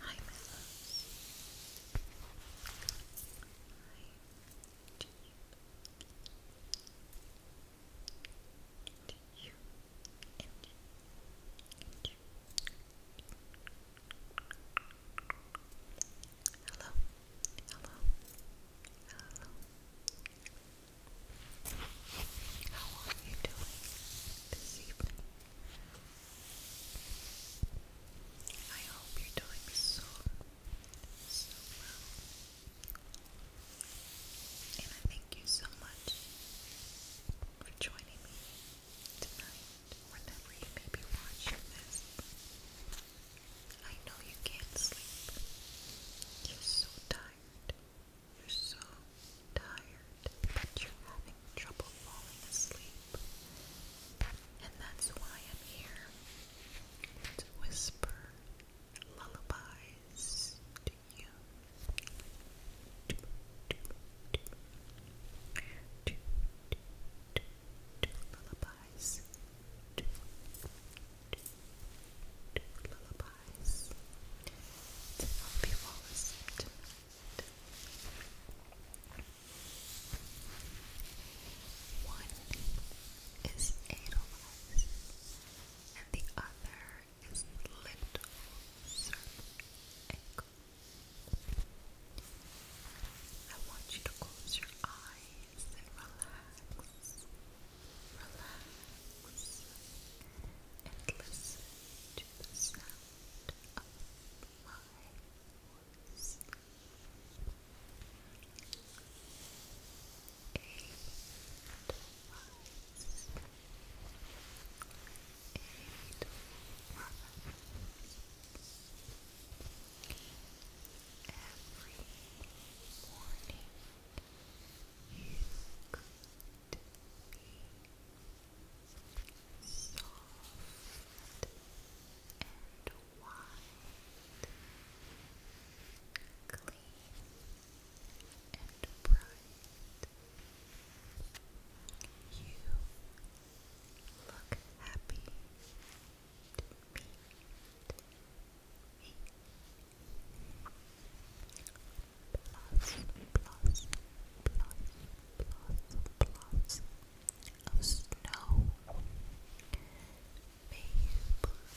Hi, my loves. Hi. Did you, did you, and, and you. Hello, hello, hello, how are you doing this evening? I hope you're doing so, so well. And I thank you so much for joining me tonight, whenever you may be watching this. I know you can't sleep. You're so tired. You're so tired, but you're having trouble falling asleep. And that's why I'm here to whisper lullabies to you. Lullabies lullabies to help you fall asleep One is Edelweiss, and the other is Little Surf I want you to close your eyes and relax relax and listen to the sound of my voice. Every morning could be soft and wide, clean and bright. You look happy to me plus, plus, plus, plus, of snow may bloom forever.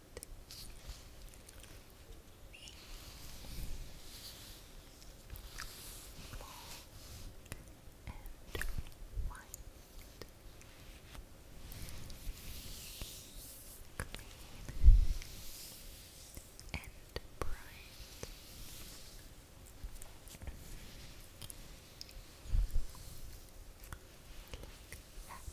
Clean and bright. Look happy.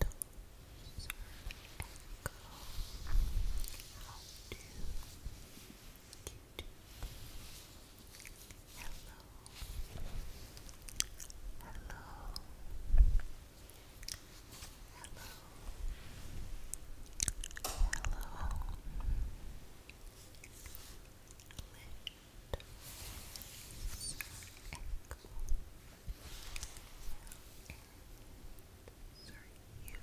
Those are echo. How do you do? Hello. Hello. Hello. Hello. Lit. Echo. Echo. Sorry, you.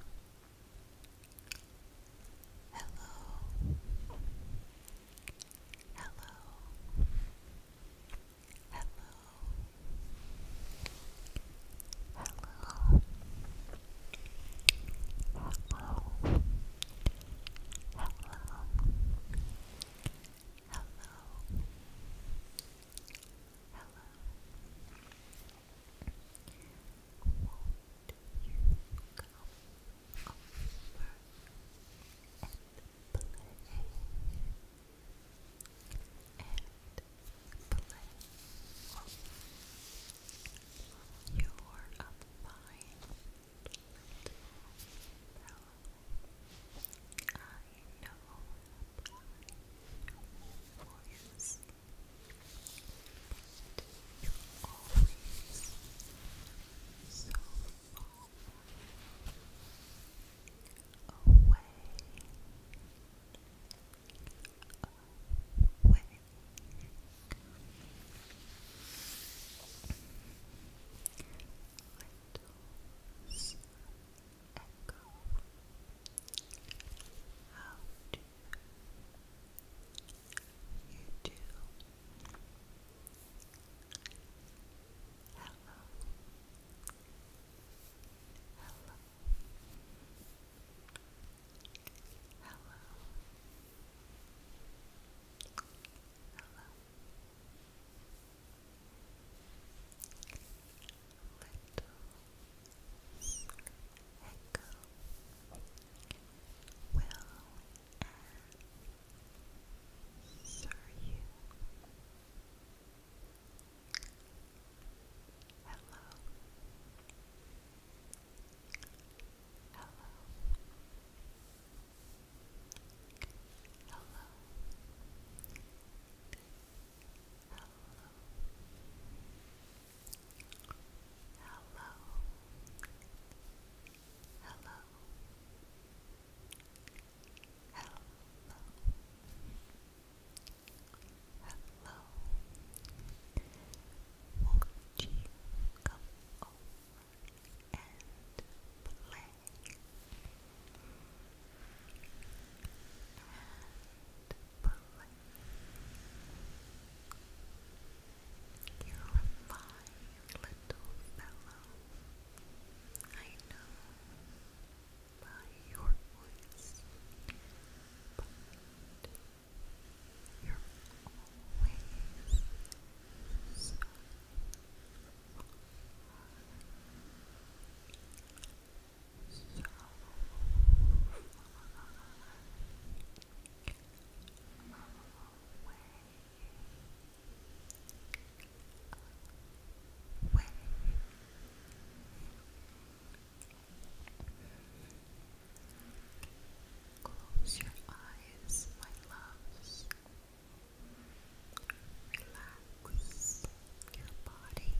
Hello. Hello. Hello. Hello. Hello. Hello. Hello. Hello. Hello. Won't you come over and play? And play. You're a fine I know for your sake, but you're always so far away, away. Little echo how do you do hello hello hello hello Hello echo will answer you. Hello. Hello. Hello hello, hello, hello, hello. Won't you and Play, and pulling. You're fine, little fellow. I know by your voice, but you're always so far Close your eyes, my loves. Relax your body.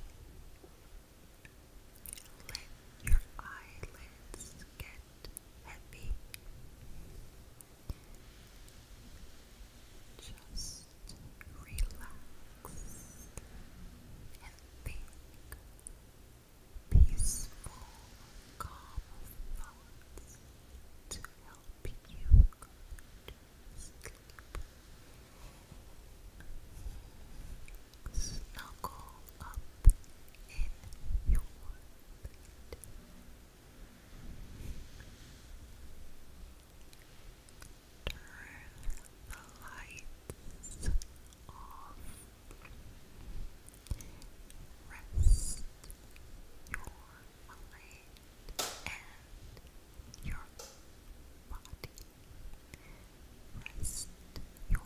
Let your eyelids get heavy. Just relax and think peaceful, calm thoughts to help you go Snuggle up in your bed. Turn the lights off. Rest your mind your body. Rest your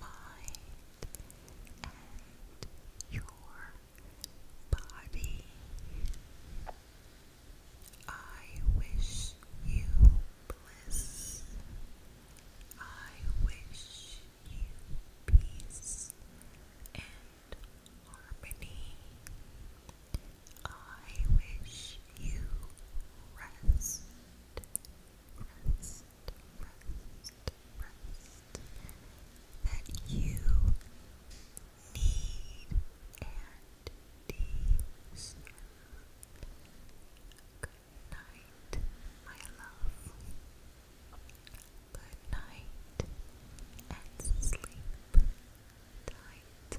mind and your body. I wish you bliss. I wish you peace and harmony. I wish you rest, rest, rest, rest, that you need and deserve. Good night, my love. Good night and sleep tight.